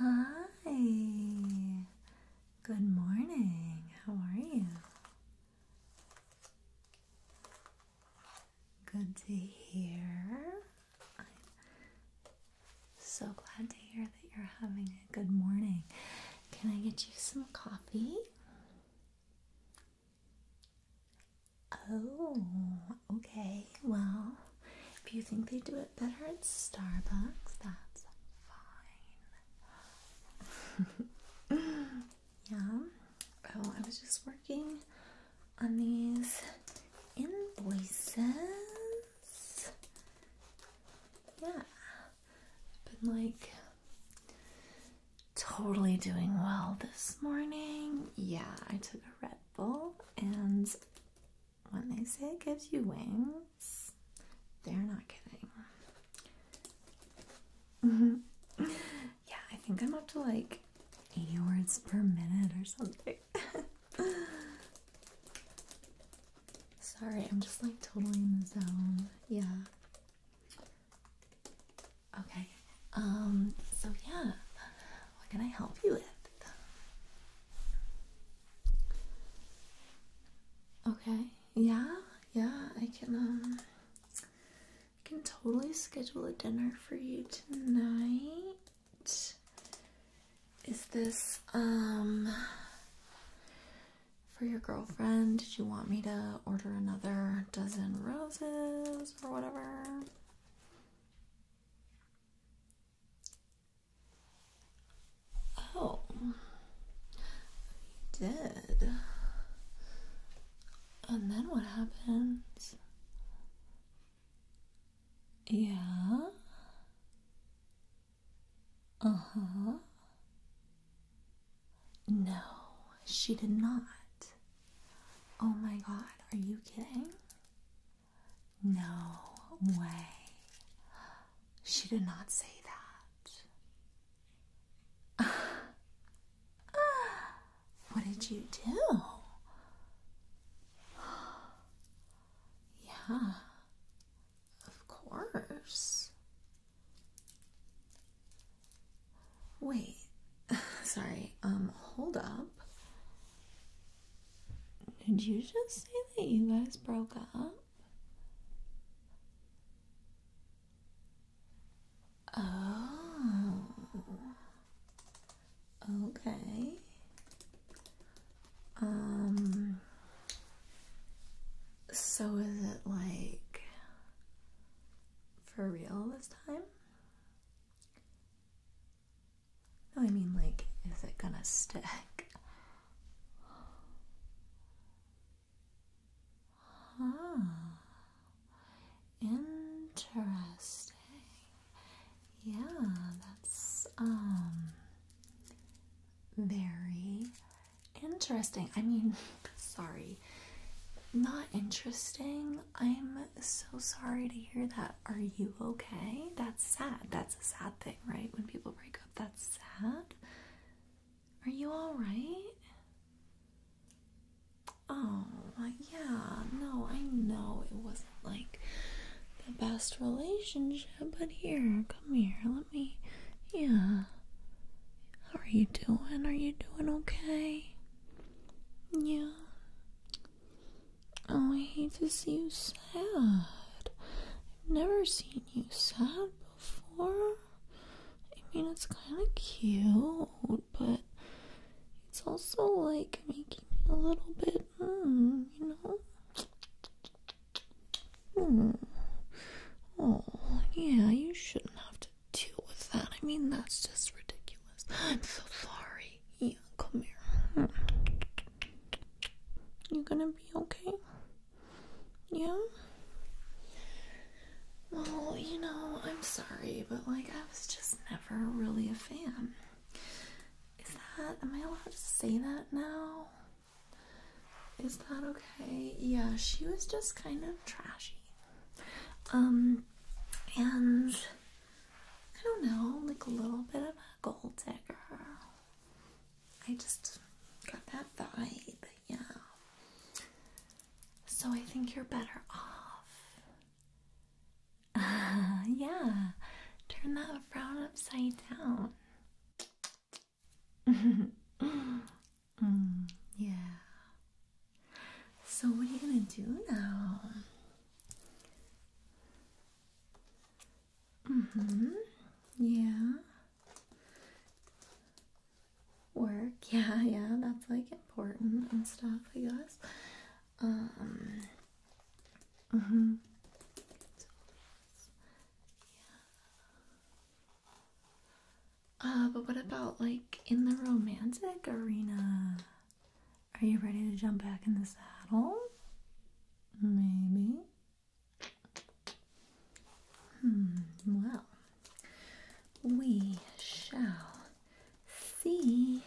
Hi. Good morning. How are you? Good to hear. So glad to hear that you're having a good morning. Can I get you some coffee? Oh, okay. Well, if you think they do it better at Starbucks, that's fine. yeah. Oh, I was just working on these invoices. Yeah. I've been like totally doing well this morning. Yeah, I took a Red Bull, and when they say it gives you wings, they're not kidding. yeah, I think I'm up to like 80 words per minute or something. Sorry, I'm just like totally in the zone. Yeah. Okay. Um, so yeah. What can I help you with? Okay. Yeah. Yeah, I can um I can totally schedule a dinner for you tonight. Is this um for your girlfriend? Did you want me to order another dozen roses or whatever? Oh, you did. And then what happens? Yeah. Uh huh. No, she did not. Oh my god, are you kidding? No way. She did not say that. what did you do? yeah. Of course. Wait. Sorry. Um, hold up. Did you just say that you guys broke up? Oh. Okay. Um, so is it like for real this time? No, I mean, like, is it gonna stick? Huh. Interesting. Yeah, that's, um, very interesting. I mean, sorry, not interesting. I'm so sorry to hear that. Are you okay? That's sad. That's a sad thing, right? When people break up, that's sad. Are you alright? Oh, yeah, no, I know it wasn't like the best relationship, but here, come here, me. Yeah. How are you doing? Are you doing okay? Yeah. Oh, I hate to see you sad. I've never seen you sad before. I mean, it's kind of cute, but it's also like making me a little bit, mm, you know? Oh. oh, yeah, you shouldn't have to deal with that. I mean, that's just ridiculous. I'm so sorry. Yeah, come here. Hmm. You gonna be okay? Yeah? Well, you know, I'm sorry, but like, I was just never really a fan. Is that, am I allowed to say that now? Is that okay? Yeah, she was just kind of trashy. Um, and I don't know, like a little bit of a gold digger. I just got that vibe, yeah. So I think you're better off. yeah, turn that frown upside down. Mm, yeah. So, what are you gonna do now? Mm-hmm. Yeah. Work. Yeah, yeah. That's like important and stuff, I guess. Um. Mm-hmm. Uh, but what about like in the romantic arena? Are you ready to jump back in the saddle? Maybe. Hmm, well, we shall see.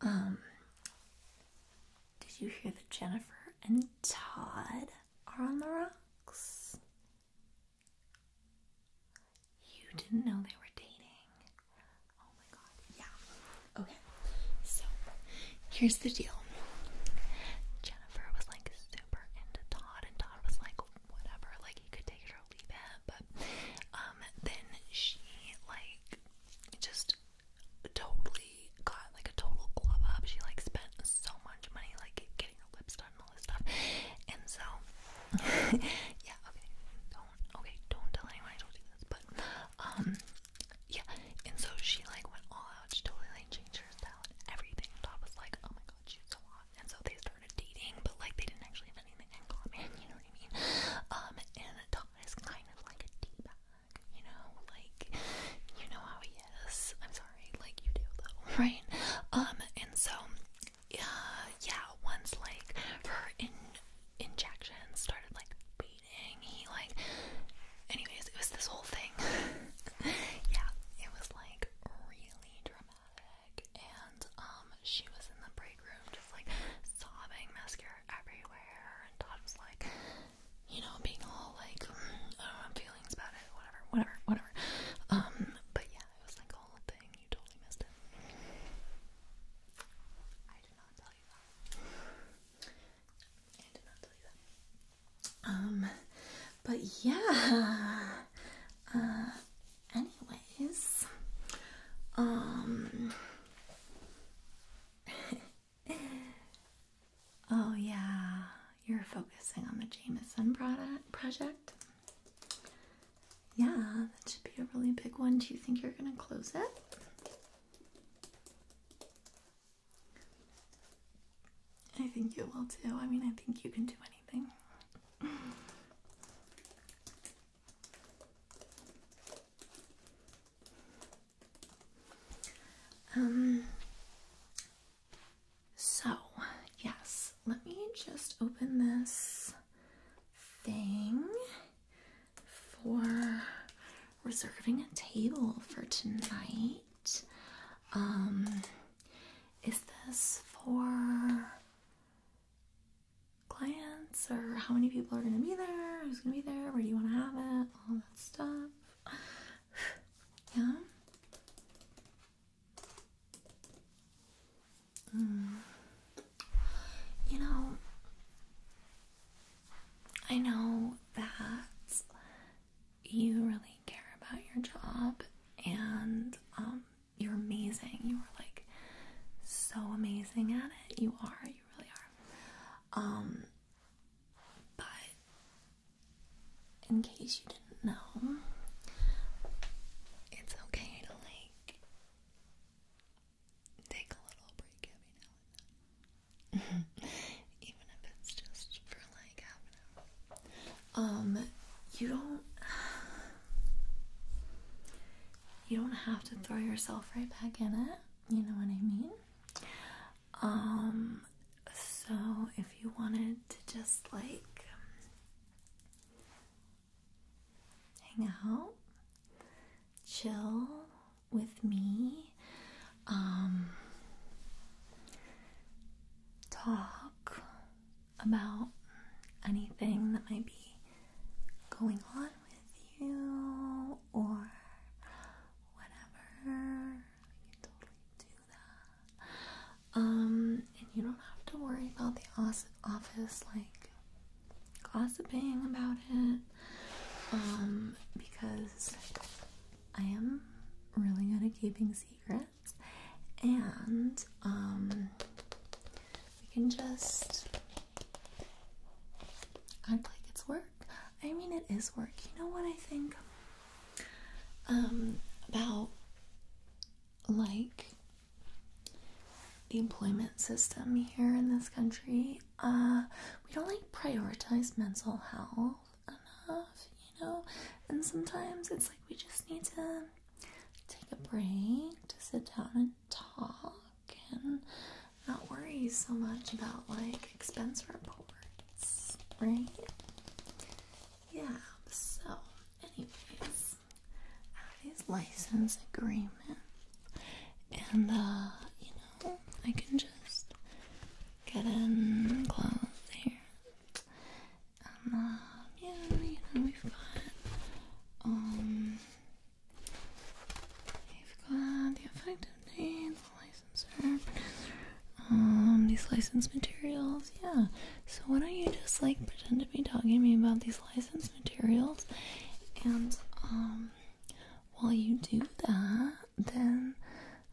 Um, did you hear that Jennifer and Todd are on the rocks? You didn't know they were dating. Oh my god, yeah. Okay, so here's the deal Jennifer was like super into Todd, and Todd was like, whatever, like he could take it or leave it, but um, then she like just totally she got like a total glob up. She like spent so much money like getting her lips done and all this stuff. And so yeah, okay. Don't okay, don't tell anyone I don't do this, but um yeah. And so she like went all out, she totally like changed her style and everything. And Todd was like, Oh my god, she's so hot. And so they started dating, but like they didn't actually have anything in common, you know what I mean? Um and Todd is kind of like a diva you know, like you know how he is. I'm sorry, like you do though, right? Um, and so uh, yeah, once like her injections started like beating, he like anyways, it was this whole thing. yeah, it was like really dramatic and um she was in the break room just like sobbing mascara everywhere and Todd was like you know, being all like, mm, feelings about it, whatever, whatever, whatever. Um, but yeah, it was like whole thing. You totally missed it. I did not tell you that. I did not tell you that. Um, but yeah. Uh, anyways, um. oh, yeah, you're focusing on the Jameson product project. Yeah, that should be a really big one. Do you think you're going to close it? I think you will too. I mean, I think you can do anything. Um, so, yes, let me just open this thing for reserving a table for tonight. Um, is this for clients or how many people are going to be there? Who's going to be there? Where do you want to have it? All that stuff. yeah. Mm. You know, I know that you really care about your job and um you're amazing. You are like so amazing at it. You are, you really are. Um but in case you didn't know, it's okay to like take a little break every now and then, even if it's just for like half an hour. Um, you don't. You don't have to throw yourself right back in it, you know what I mean? Um, so if you wanted to just like hang out, chill with me, um, talk about anything that might be going on with you or whatever, we can totally do that. Um, and you don't have to worry about the office like gossiping about it. Um, because I am really good at keeping secrets, and um, we can just act like it's work. I mean, it is work. You know what I think? um, about like the employment system here in this country. Uh, we don't like prioritize mental health enough, you know, and sometimes it's like we just need to take a break to sit down and talk and not worry so much about like expense reports, right? yeah, so, anyways, Abby's license agreement, and uh, you know, I can just get in close here. And um, yeah, you know, we've got, um, we've got the effective date, license um, these license materials, yeah. So why don't you just like pretend to be talking to me about these license materials, and um, while you do that, then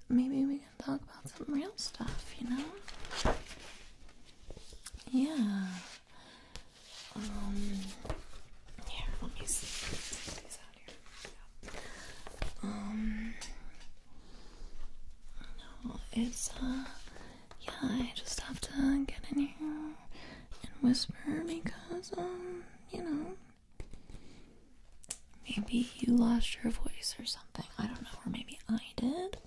maybe we can talk about some real stuff, you know? Yeah. Um. Here, let me see. These out here. Yeah. Um. No, it's uh, yeah, I just have to get in here and whisper because, um, you know, maybe you lost your voice or something. I don't know, or maybe I did.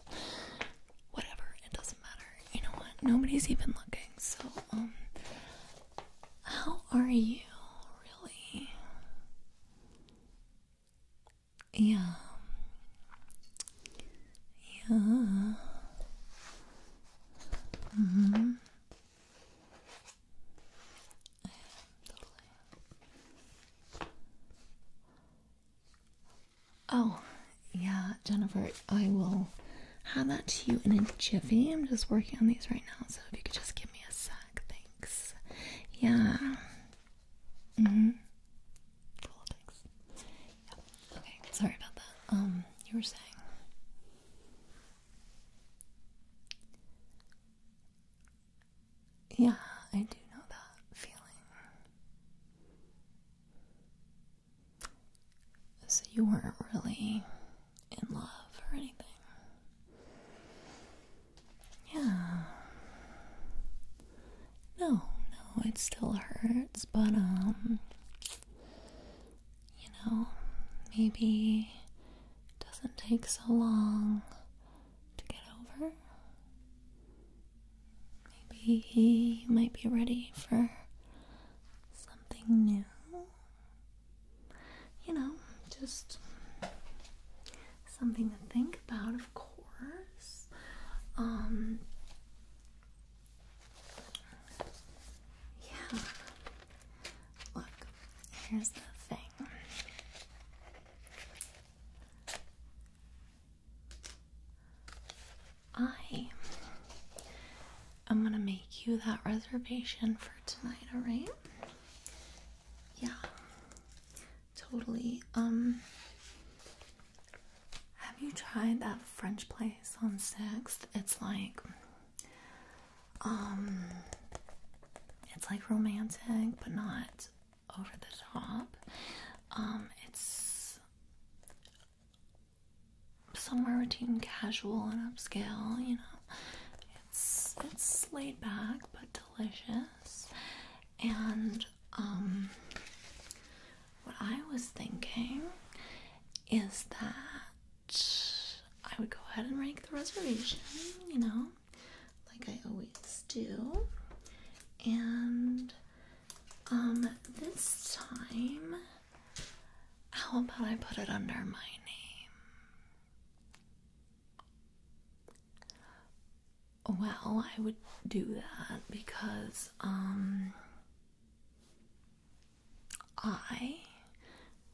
Whatever, it doesn't matter. You know what? Nobody's even looking, so, um, how are you, really? Yeah. Yeah. hmm. Oh, yeah, Jennifer, I will have that to you in a jiffy. I'm just working on these right now, so if you could just give me a sec, thanks. Yeah. Mm hmm. Politics. Okay, sorry about that. Um, you were saying. Yeah, I do know that feeling. So you weren't really in love or anything. Yeah. No, no, it still hurts, but, um, you know, maybe it doesn't take so long to get over. Maybe he might be ready for something new. You know, just something to think about, of course. Um, yeah. Look, here's the thing. I am gonna make you that reservation for tonight, alright? Yeah. Totally. Um have you tried that French place on 6th? It's like um it's like romantic but not over the top. Um it's somewhere between casual and upscale, you know. It's it's laid back but delicious and um, what I was thinking is that I would go ahead and rank the reservation, you know, like I always do. And um, this time, how about I put it under my name? Well, I would do that because um, I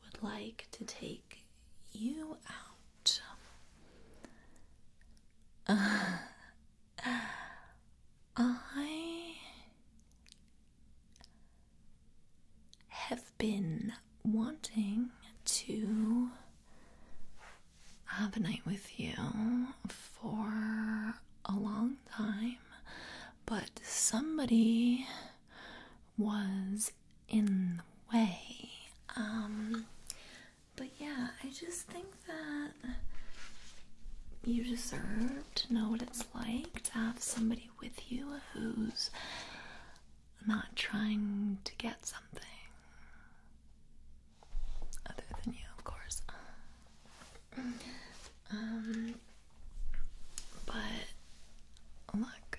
would like to take you out. I have been wanting to have a night with you for a long time, but somebody was in the way. Um, but yeah, I just think that you deserve to know what it's like to have somebody with you who's not trying to get something other than you, of course. Um, but look,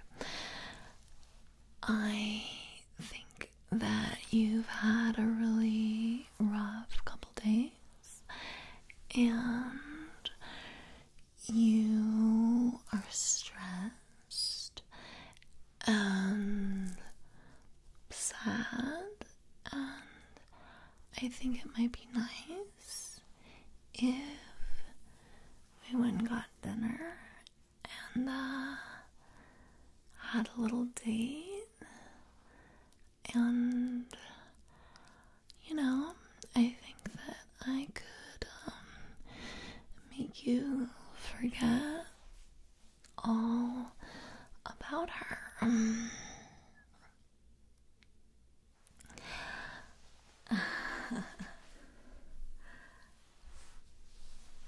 I think that you've had a really rough couple days, and you are stressed, and sad, and I think it might be nice if we went and got dinner and uh, had a little date, and you know, I think that I could um, make you forget all about her.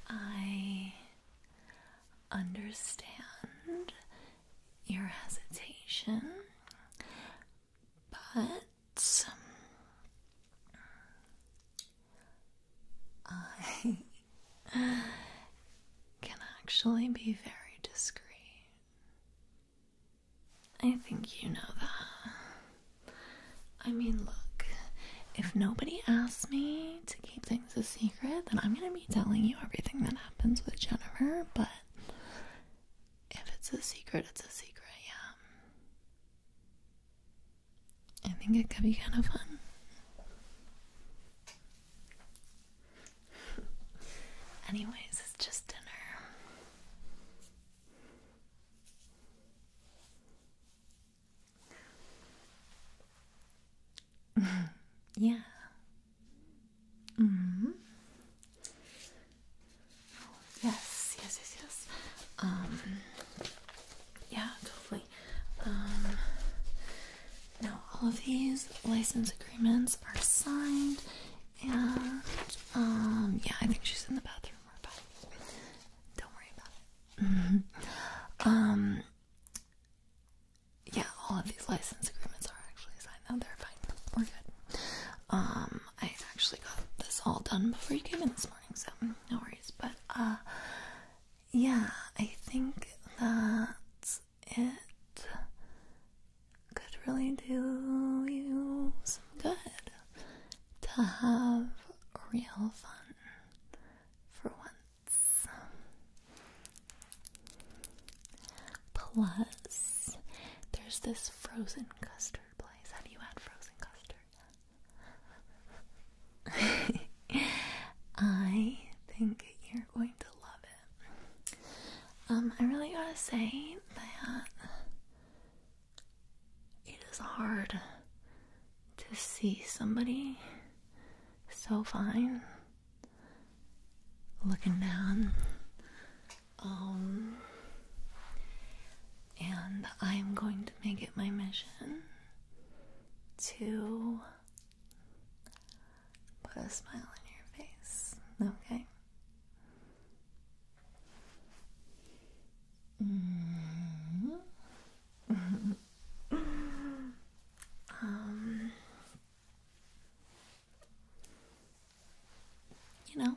I understand your hesitation, but I can actually be very discreet. I think you know that. I mean, look, if nobody asks me to keep things a secret, then I'm gonna be telling you everything that happens with Jennifer, but if it's a secret, it's a secret, yeah. I think it could be kind of fun. Anyways, it's just dinner. yeah. -hmm. Yes, yes, yes, yes. Um, yeah, totally. Um, now, all of these license agreements are signed, and um, yeah, I think she's in the bathroom. don't worry about it. Mm-hmm. Um, yeah, all of these license agreements are actually signed. Now they're fine. We're good. I actually got this all done before you came in this morning, so no worries. But uh, yeah, I think that it. Could really do you some good to have real fun for once. Plus, there's this frozen custard place. Have you had frozen custard? I think you're going to love it. Um, I really gotta say that it is hard to see somebody so fine looking down. Um, and I'm going to make it my mission to Put a smile on your face, okay? Mm-hmm. Um, you know,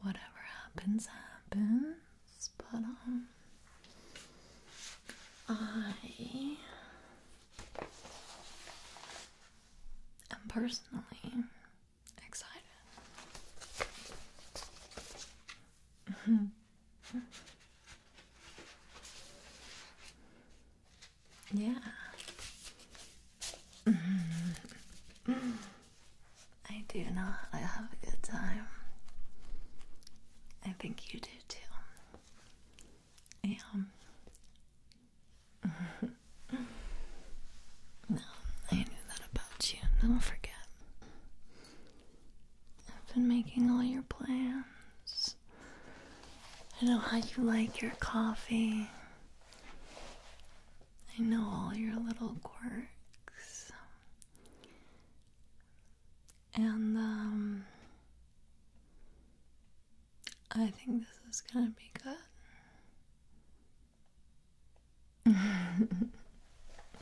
whatever happens, happens, but um, I am personally excited. yeah. I do not. I have a good time. I think you do too am. no, I knew that about you. Don't forget. I've been making all your plans. I know how you like your coffee. I know all your little quirks and um, I think this is gonna be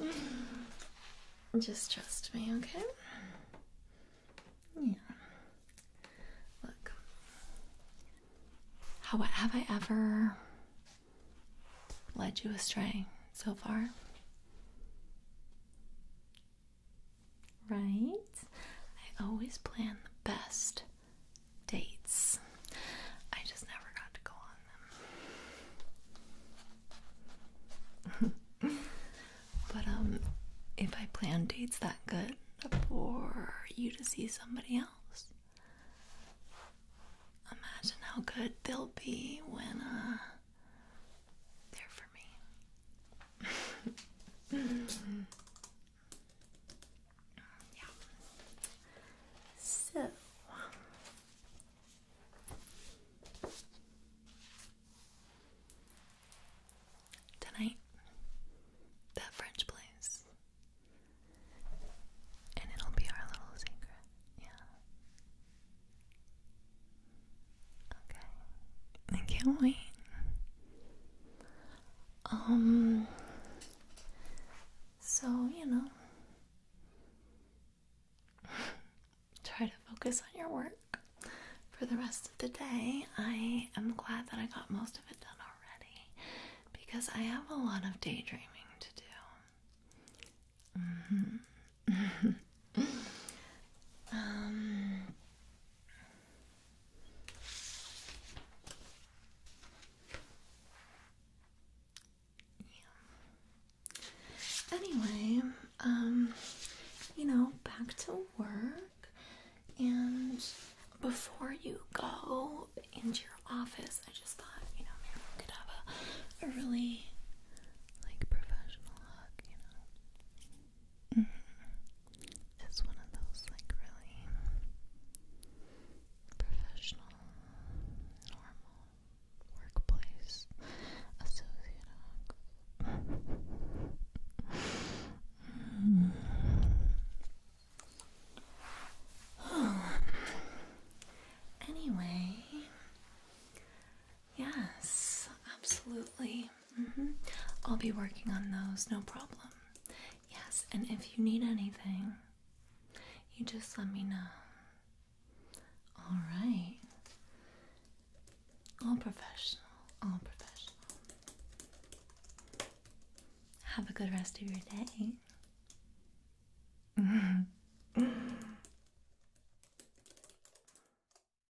good. Just trust me, okay? Yeah. Look. How have I ever led you astray so far? Right? I always plan the best dates. I just never got to go on them. but um if I plan dates that good for you to see somebody else, imagine how good they'll be when uh, they're for me yeah. So tonight, that French place, and it'll be our little secret. Yeah. Okay. I can't wait. Um so, you know, try to focus on your work for the rest of the day. I am glad that I got most of it done already because I have a lot of daydreaming to do. Mm-hmm. Um, anyway, um, you know, back to work, and before you go into your office, I just thought, you know, maybe we could have a, really like professional look, you know. Mm-hmm. It's one of those like really professional, normal workplace associate Anyway, Yes, absolutely. Mm-hmm. I'll be working on those, no problem. Yes, and if you need anything, you just let me know. All right. All professional, all professional. Have a good rest of your day.